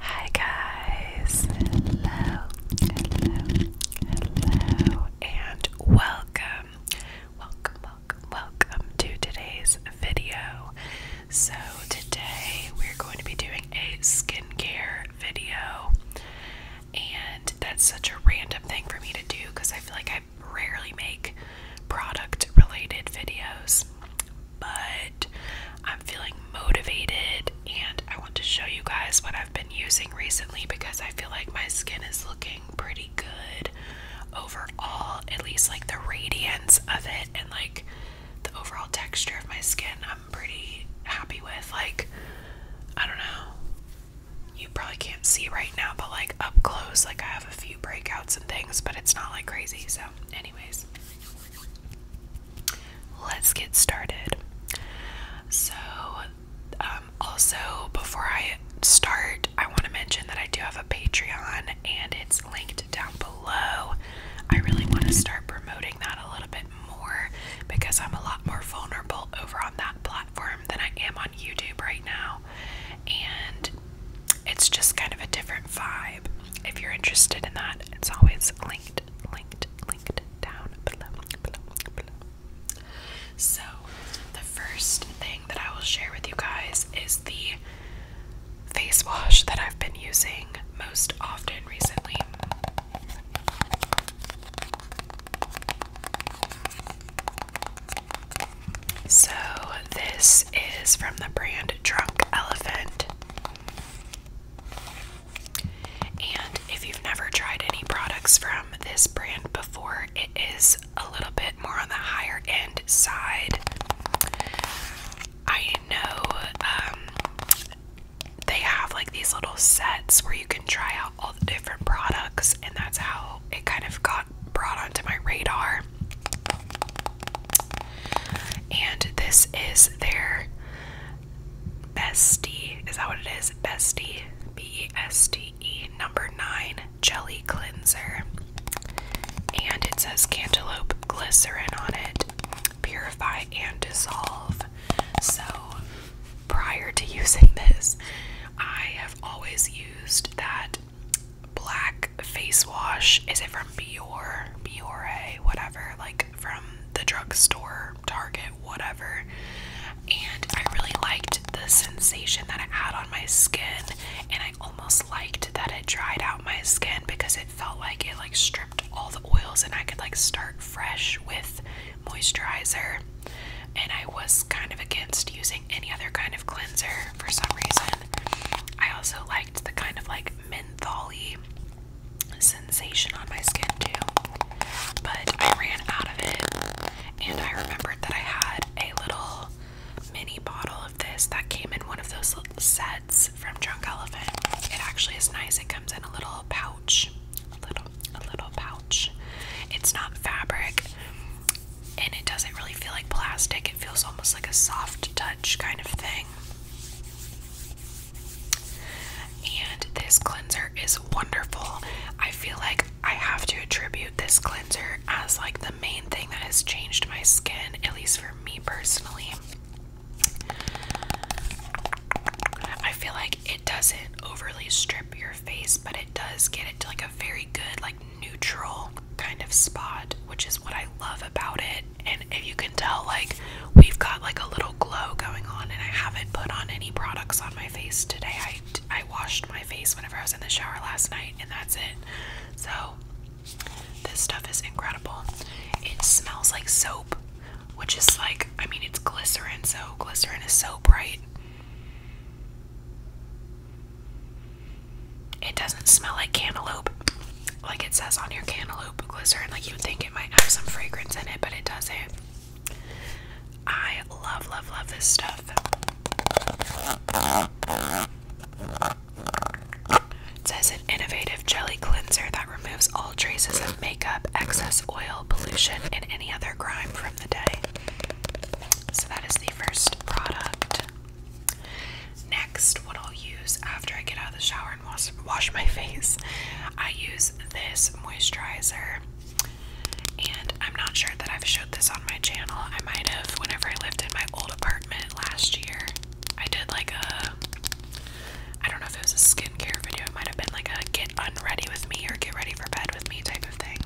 Hi guys, hello, hello, hello, and welcome, welcome, welcome, welcome to today's video. So today we're going to be doing a skincare video, and that's such a random thing for me to do because I feel like I rarely make product related videos but I'm feeling motivated and I want to show you guys what I've been using recently because I feel like my skin is looking pretty good overall, at least like the radiance of it and like the overall texture of my skin. I'm pretty happy with like I don't know. You probably can't see right now, but like up close, like I have a few breakouts and things, but it's not like crazy. So, anyways, Let's get started. So, um, also, before I start, I want to mention that I do have a Patreon and it's linked down below. I really want to start promoting that a little bit more because I'm a lot more vulnerable over on that platform than I am on YouTube right now. And it's just kind of a different vibe if you're interested in that, it's always linked, linked, linked down below, So, the first thing that I will share with you guys is the face wash that I've been using most often recently. So, this is from the brand Drunk Elephant. And if you've never tried any products from this brand before, it is a little bit more on the higher end side. I know um, they have like these little sets where you can try out all the different products, and that's how it kind of got brought onto my radar. And this is their bestie. Is that what it is? Bestie. B E S T E. Number nine jelly cleanser. And it says cantaloupe glycerin on it. Purify and dissolve. So prior to using this, I have always used that black face wash. Is it from Biore, Biore, whatever, like from the drugstore, Target, whatever. And I really liked the sensation that I had on my skin, and I almost liked that it dried out my skin because it felt like it like stripped all the oils and I could like start fresh with moisturizer. And I was kind of against using any other kind of cleanser for some reason. I also liked the kind of like mentholy sensation on my skin too. But I ran out of it and I remembered that I had a little mini bottle of this that came in one of those little sets from Drunk Elephant. It actually is nice. It comes in a little pouch. little a little pouch. It's not fabric and it doesn't really feel like plastic. It feels almost like a soft touch kind of thing. And this cleanser is wonderful. I feel like I have to attribute this cleanser as like the main thing that has changed my skin, at least for me personally. I feel like it doesn't overly strip your face, but it does get it to like a very good, like neutral kind of spot, which is what I love about it. And if you can tell, like, we've got like a little glow going on, and I haven't put on any products on my face today. I, I washed my face whenever I was in the shower last night, and that's it. So, this stuff is incredible. It smells like soap, which is like, I mean, it's glycerin, so glycerin is so bright. It doesn't smell like cantaloupe, like it says on your cantaloupe and Like you'd think it might have some fragrance in it, but it doesn't. I love, love, love this stuff. It says an innovative jelly cleanser that removes all traces of makeup, excess oil, pollution, and any other grime from the day. So that is the first product. Next, what I'll use after I get out of the shower and wash, my face, I use this moisturizer. And I'm not sure that I've showed this on my channel. I might have whenever I lived in my old apartment last year. I did like a, I don't know if it was a skincare video, it might have been like a get unready with me or get ready for bed with me type of thing.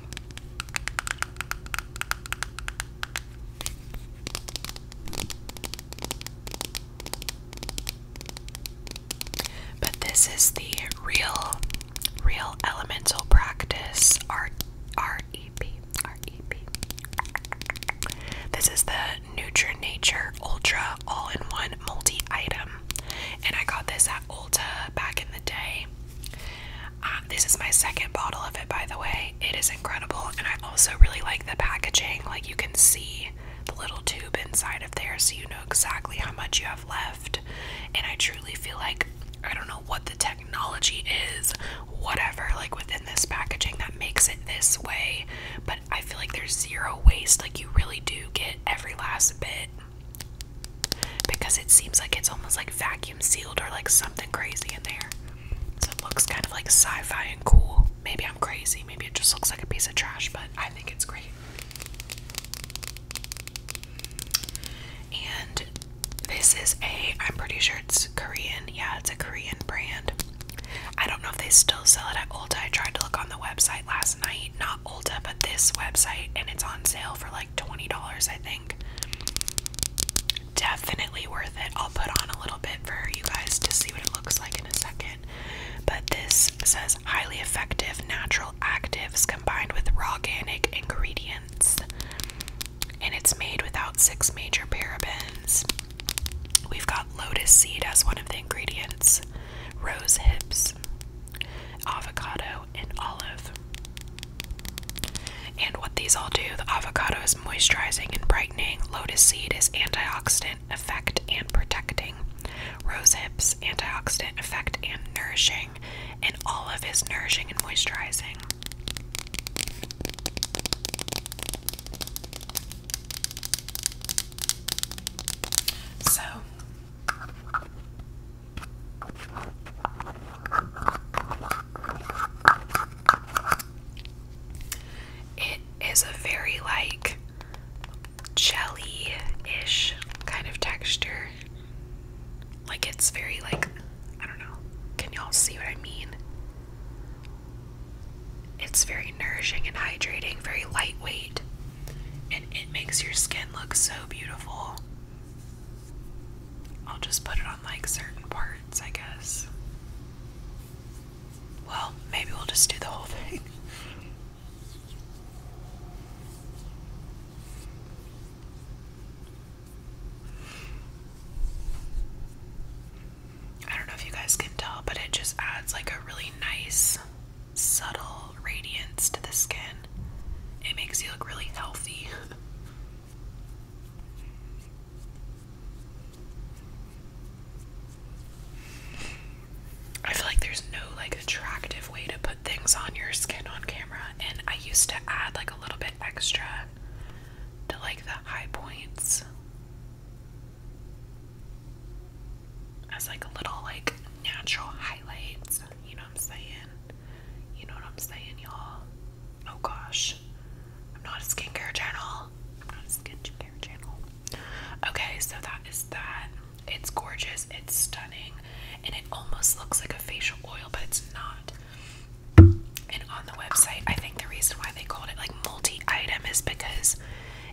But this is the real, real elemental practice R R E P R E P. This is the Nutra Nature Ultra All-in-One Multi-Item, and I got this at Ulta back in the day. Uh, this is my second bottle of it, by the way it is incredible. And I also really like the packaging. Like you can see the little tube inside of there so you know exactly how much you have left. And I truly feel like I don't know what the technology is, whatever, like within this packaging that makes it this way. But I feel like there's zero waste. Like you really do get every last bit because it seems like it's almost like vacuum sealed or like something crazy in there. So it looks kind of like sci-fi and cool. Maybe I'm crazy. Maybe it just looks like a piece of trash, but I think it's great. And this is a, I'm pretty sure it's Korean. Yeah, it's a Korean brand. I don't know if they still sell it at Ulta. I tried to look on the website last night. Not Ulta, but this website. And it's on sale for like $20, I think definitely worth it. I'll put on a little bit for you guys to see what it looks like in a second. But this says highly effective natural actives combined with raw organic ingredients. And it's made without six major parabens. We've got lotus seed as one of the ingredients, rose hips, avocado, and olive. And what these all do, the avocado moisturizing and brightening. Lotus seed is antioxidant effect and protecting. Rose hips, antioxidant effect and nourishing. And all of is nourishing and moisturizing. So it is a very like jelly ish kind of texture. Like it's very like I don't know. Can y'all see what I mean? It's very nourishing and hydrating, very lightweight, and it makes your skin look so beautiful. I'll just put it on like certain parts, I guess. Well, maybe we'll just do the whole thing. I don't know if you guys can tell, but it just adds like a really nice, subtle radiance to the skin. It makes you look really healthy. I feel like there's no like attractive way to put things on your skin on camera, and I used to add like a little bit extra to like the high points as like a little like natural highlights. You know what I'm saying? You know what I'm saying, y'all? Oh gosh. I'm not a skincare journal. I'm not a skincare channel. Okay, so that is that. It's gorgeous, it's stunning, and it almost looks like a facial oil, but it's not. And on the website, I think the reason why they called it like multi-item is because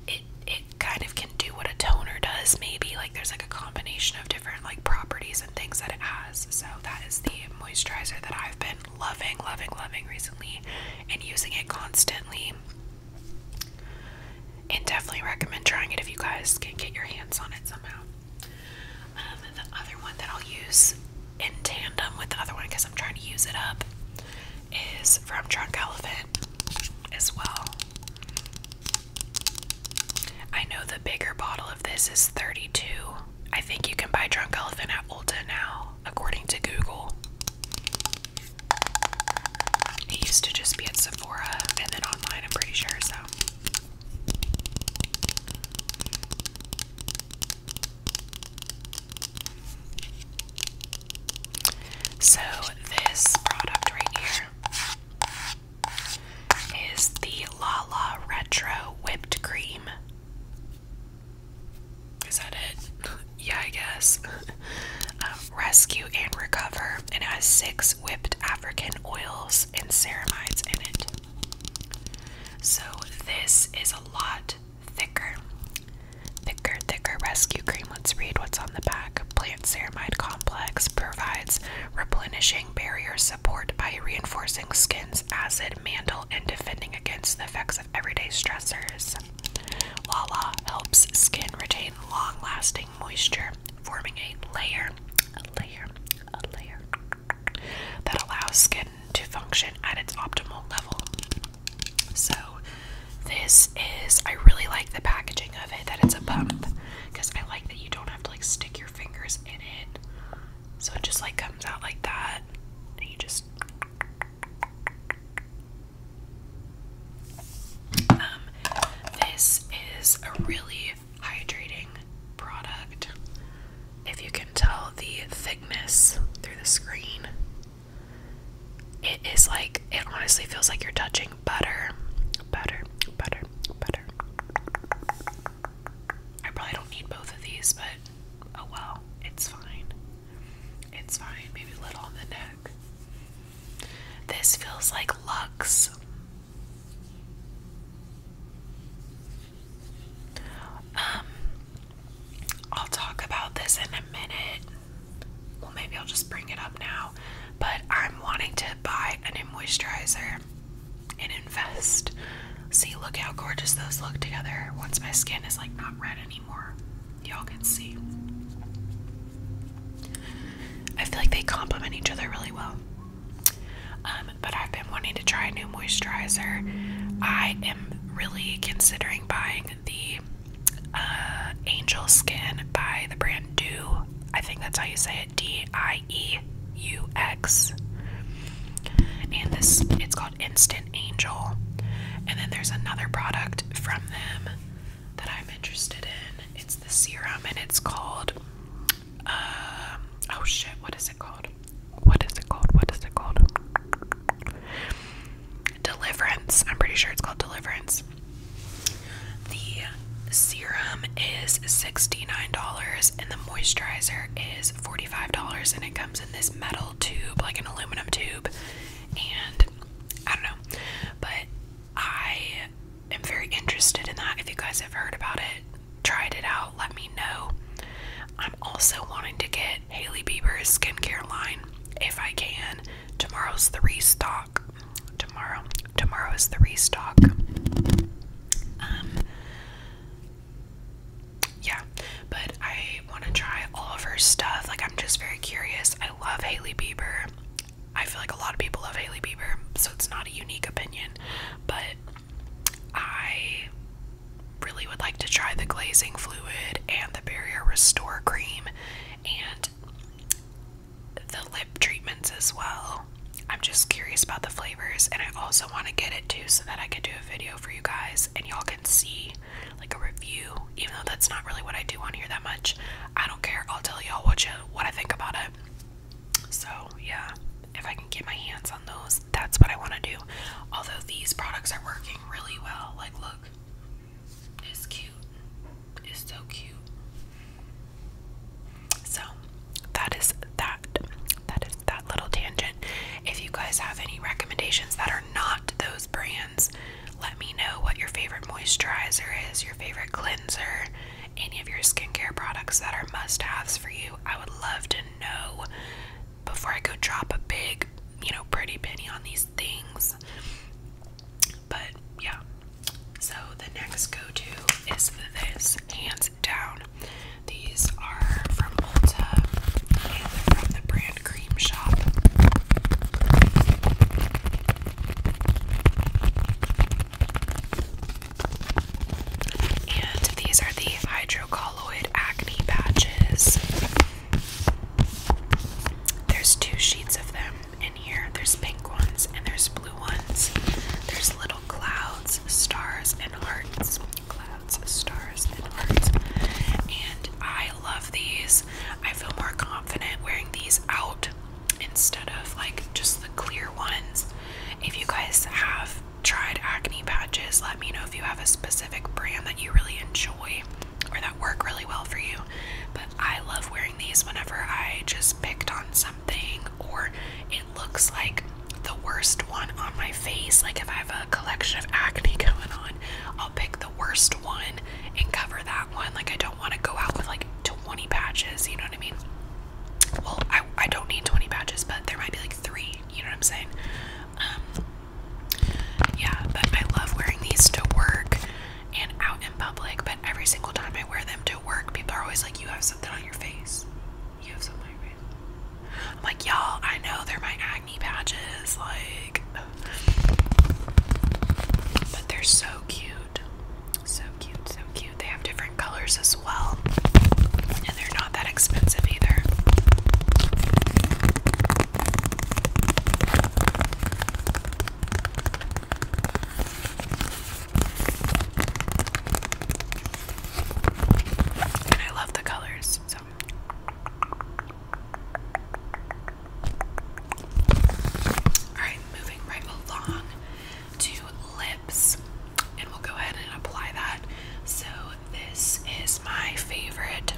it it kind of can do what a toner does, maybe. Like there's like a combination of different like properties and things that it has. So that is the moisturizer that I've been loving, loving, loving recently and using it constantly. And definitely recommend trying it if you guys can get your hands on it somehow. Um, the other one that I'll use in tandem with the other one because I'm trying to use it up is from Trunk Elephant as well. I know the bigger bottle of this is 32 I think you can buy Drunk Elephant at Ulta now, according to Google. It used to just be at Sephora and then online, I'm pretty sure, so. So, this product right here is the La La Retro Whipped Cream. Is that it? yeah, I guess. Um, rescue and recover, and it has six whipped African oils and ceramides in it. So this is a lot thicker, thicker, thicker rescue cream. Let's read what's on the back. Plant ceramide complex provides replenishing barrier support by reinforcing skin's acid mantle and defending against the effects of everyday stressors. Lala helps skin retain long lasting moisture, forming a layer that allows skin to function at its optimal level. So, this is, I really like the packaging of it, that it's a pump, because I like that you don't have to like stick your fingers in it. So it just like comes out like that. And you just um this is a really hydrating product. If you can tell the thickness through the screen, it is like it honestly feels like you're touching butter, butter, butter, butter. I probably don't need both of these, but oh well, it's fine. It's fine. Maybe a little on the neck. This feels like lux. Um, I'll talk about this in a minute. Well, maybe I'll just bring it up now. But I'm wanting to buy a moisturizer and invest. See, look how gorgeous those look together. Once my skin is like not red anymore, y'all can see. I feel like they complement each other really well. Um, but I've been wanting to try a new moisturizer. I am really considering buying the uh, Angel Skin by the brand Dew. I think that's how you say it D I E U X. And this, it's called. Instant Angel. And then there's another product from them that I'm interested in. It's the serum and it's called uh, oh shit, what is it called? What is it called? What is it called? Deliverance. I'm pretty sure it's called Deliverance. The serum is $69 and the moisturizer is $45 and it comes in this metal tube, like an aluminum tube, and I don't know, but I am very interested in that. If you guys have heard about it, tried it out, let me know. I'm also wanting to get Haley Bieber's skincare line if I can. Tomorrow's the restock. Tomorrow, tomorrow is the restock. Um, yeah, but I want to try all of her stuff. Like, I'm just very curious. I love Haley Bieber. I feel like a lot of people love Haley Bieber, so it's not a unique opinion, but I really would like to try the glazing fluid and the barrier restore cream and the lip treatments as well. I'm just curious about the flavors, and I also want to get it too so that I can do a video for you guys and y'all can see like a review, even though that's not really what I do on here that much. I don't care. I'll tell y'all what, what I think about it. So, yeah, if I can get my hands on those, that's what I want to do. Although these products are working really well. Like, look, it's cute. It's so cute. So, that is that. That is that little tangent. If you guys have any recommendations that are not those brands, let me know what your favorite moisturizer is, your favorite cleanser, any of your skincare products that are must haves for you. I would love to know before I go drop a big, you know, pretty penny on these things. But yeah. So the next go to is this hand down. These are from Ulta and from the brand Cream Shop. And these are the hydrocolloid acne patches. There's two sheets of them in here. There's pink ones and there's blue ones. There's little clouds, stars, and hearts stars, and birds. And I love these. I feel more confident wearing these out instead of like just the clear ones. If you guys have tried acne patches, let me know if you have a specific brand that you really enjoy or that work really well for you. But I love wearing these whenever I just picked on something or looks like the worst one on my face. Like if I have a collection of acne going on, I'll pick the worst one and cover that one. Like I don't want to go out with like 20 patches, you know what I mean? Well, I, I don't need 20 patches, but there might be like three, you know what I'm saying? Um, yeah, but I love wearing these to work and out in public, but every single time I wear them to work, people are always like, You have something on your face. You have some I'm like, y'all, I know they're my acne patches, like but they're so cute. So cute, so cute. They have different colors as well. And they're not that expensive either. I love the colors, so. Alright, moving right along to lips. And we'll go ahead and apply that. So, this is my favorite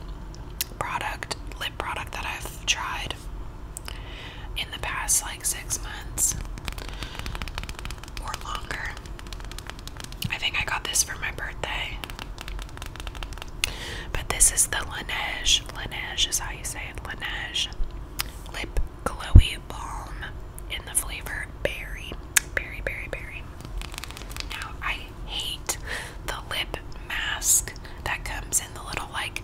product, lip product that I've tried in the past like six months or longer. I think I got this for my birthday. But this is the Laneige. Laneige is how you say it. Laneige Lip Glowy Balm in the flavor berry. Berry, berry, berry. Now, I hate the lip mask that comes in the little, like,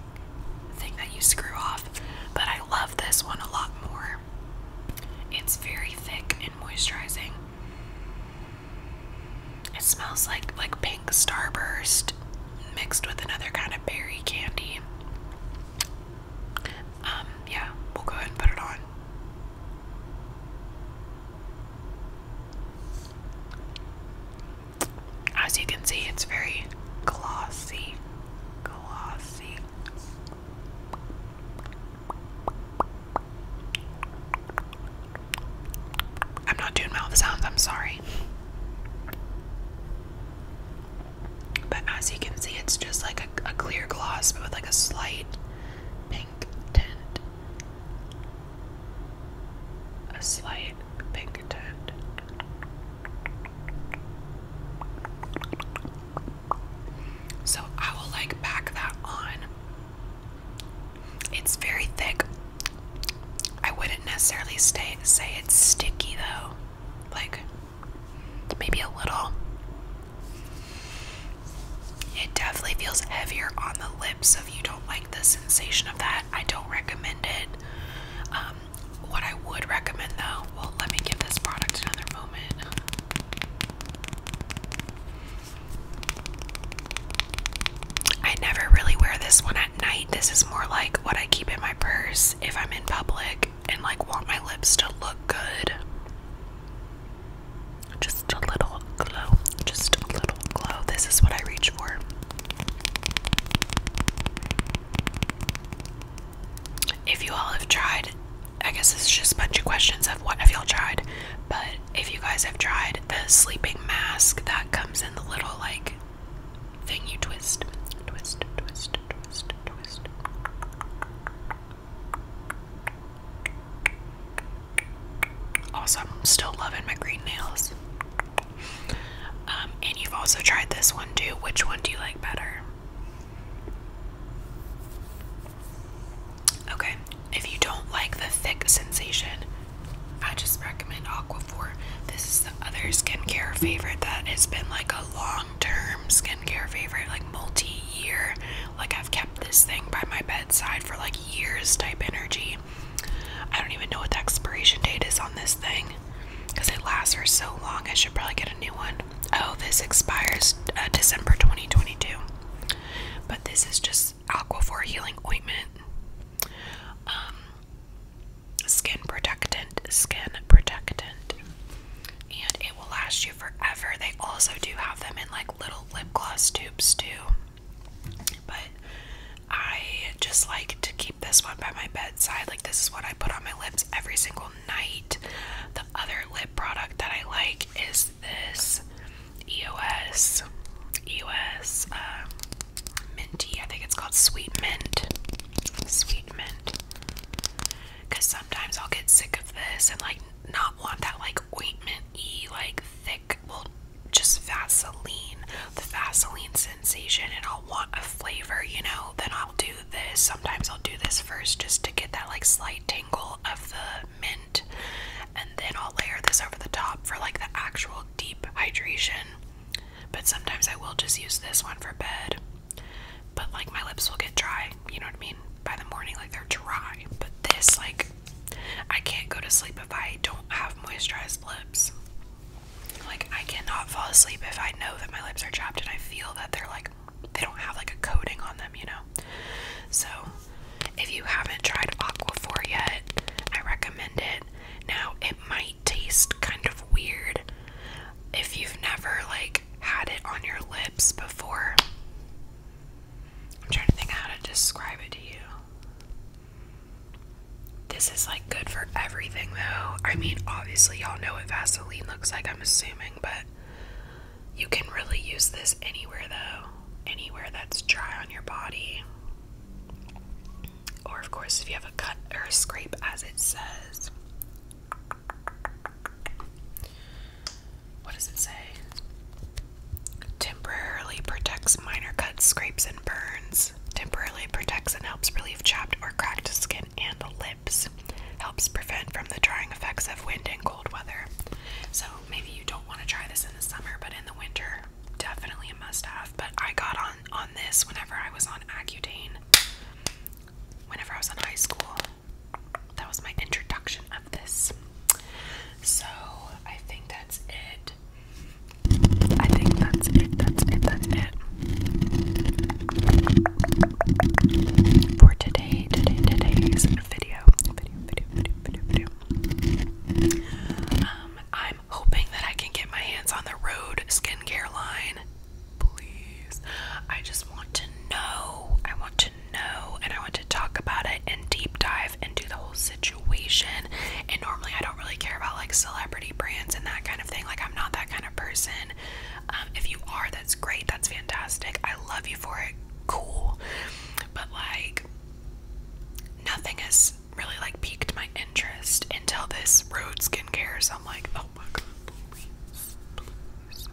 thing that you screw off, but I love this one a lot more. It's very thick and moisturizing. It smells like like pink starburst mixed with another kind of berry candy. Um, yeah, we'll go ahead and put it on. As you can see, it's very glossy. Glossy. I'm not doing mouth sounds, I'm sorry. But as you can see, it's just like a, clear gloss, but with like a slight pink tint. A slight pink tint. So I will like pack that on. It's very thick. I wouldn't necessarily stay, say it's sticky though. Like, maybe a little. It definitely feels heavier on the lips, so if you don't like the sensation of that, I don't recommend it. Um, what I would recommend though well, let me give this product another moment. I never really wear this one at night. This is more like what I keep in my purse if I'm in public and like want my lips to look good. Just a little glow. Just a little glow. This is what I reach for. If you all have tried I guess it's just a bunch of questions of what have y'all tried. But if you guys have tried the sleeping mask that comes in the little like thing you twist, twist, twist, twist, twist. Also, I'm still loving my green nails. Um, and you've also tried this one too. Which one do you like better? Okay, if you don't like the thick sensation, I just recommend Aquaphor. This is the other skincare favorite that has been like a long-term skincare favorite, like multi-year. Like I've kept this thing by my bedside for like years type energy. I don't even know what the expiration date is on this thing because it lasts for so long. I should probably get a new one. Oh, this expires uh, December 2022. But this is just Aquaphor Healing Ointment. Um, skin protectant, skin protectant. And it will last you forever. They also do have them in like little lip gloss tubes too. But I just like to keep this one by my bedside. Like, this is what I put on my lips every single night night. The other lip product that I like is this EOS EOS um, minty. I think it's called Sweet Mint. Sweet Mint. Cause sometimes I'll get sick of this and like not want that like ointment-y, like thick, well, just Vaseline, the Vaseline sensation, and I'll want a flavor, you know. Then I'll do this. Sometimes I'll do this first just to get that like slight tingle of the mint, and then I'll layer this over the top for like the actual deep hydration. But sometimes I will just use this one for bed. But like my lips will get dry, you know what I mean? By the morning, like they're dry. But this, like, I can't go to sleep if I don't have moisturized lips. Like, I cannot fall asleep if I know that my lips are chapped and I feel that they're like they don't have like a coating on them, you know. So if you haven't tried Aquaphor yet, I recommend it. Now it might taste kind of weird if you've never like had it on your lips before. I'm trying to think how to describe it to you. This is like good for everything though. I mean, obviously y'all know what Vaseline looks like, I'm assuming, but you can really use this anywhere though, anywhere that's dry on your body. Or, of course, if you have a cut or a scrape, as it says. What does it say? Temporarily protects minor cuts, scrapes, and burns. Temporarily protects and helps relieve chapped or cracked skin and lips. Helps prevent from the drying effects of wind and cold weather. So maybe you don't want to try this in the summer, but in the winter, definitely a must-have. But I got on on this whenever I was on Accutane. Whenever I was in high school, that was my introduction of this. So I think that's it. I think that's it. That's it. That's it for today, today, today's video. Video, video, video, video, video. Um, I'm hoping that I can get my hands on the Road skincare line. Please. I just want to know. I want to know and I want to talk about it and deep dive into the whole situation. And normally I don't really care about like celebrity brands and that kind of thing. Like I'm not that kind of person. Um, if you are that's great, that's fantastic. I love you for it, cool. But like nothing has really like piqued my interest until this road skincare. So I'm like, oh my god, please, please.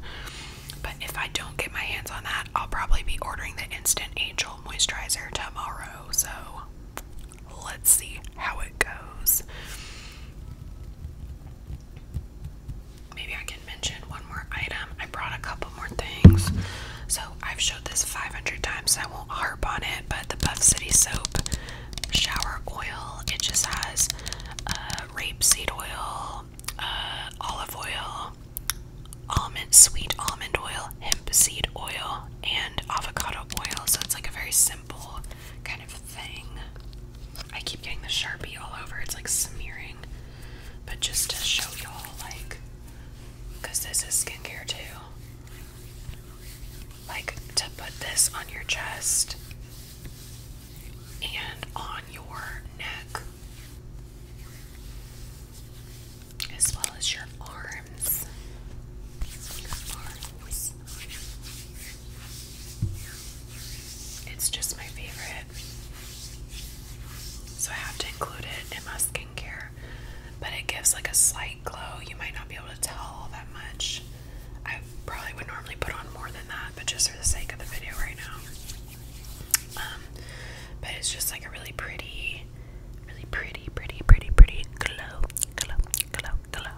But if I don't get my hands on that, I'll probably be ordering the instant angel moisturizer tomorrow. So let's see how it goes maybe I can mention one more item. I brought a couple more things. So I've showed this 500 times, so I won't harp on it, but the Buff City Soap Shower Oil, it just has uh, rapeseed oil, uh, olive oil, almond, sweet almond oil, hemp seed oil, and avocado oil. So it's like a very simple kind of thing. I keep getting the Sharpie all over. It's like smearing. But just to show y'all, like, because this is skincare too. Like, to put this on your chest and on your neck, as well as your arms. It's just my favorite. So I have to include it in my skincare. But it gives like a slight glow. You might not be able to tell that much. I probably would normally put on more than that, but just for the sake of the video right now. Um, but it's just like a really pretty, really pretty, pretty, pretty, pretty glow, glow, glow, glow.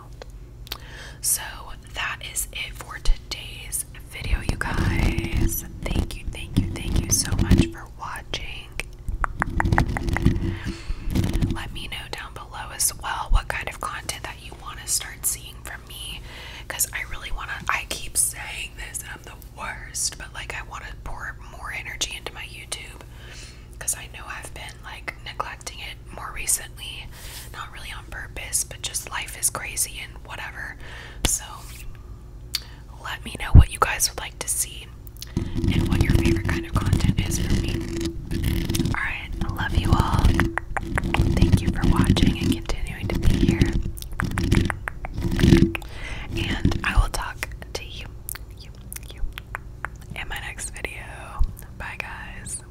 So that is it for today's video, you guys. Thank you, thank you, thank you so much for watching. Let me know down below as well what kind of content that you want to start seeing from me because I really want to. I keep saying this and I'm the worst, but like I want to pour more energy into my YouTube because I know I've been like neglecting it more recently not really on purpose, but just life is crazy and whatever. So let me know what you guys would like to see and what your favorite kind of content is for me. Alright, I love you all. Thank you for watching and continuing to be here. And I will talk to you in my next video. Bye, guys.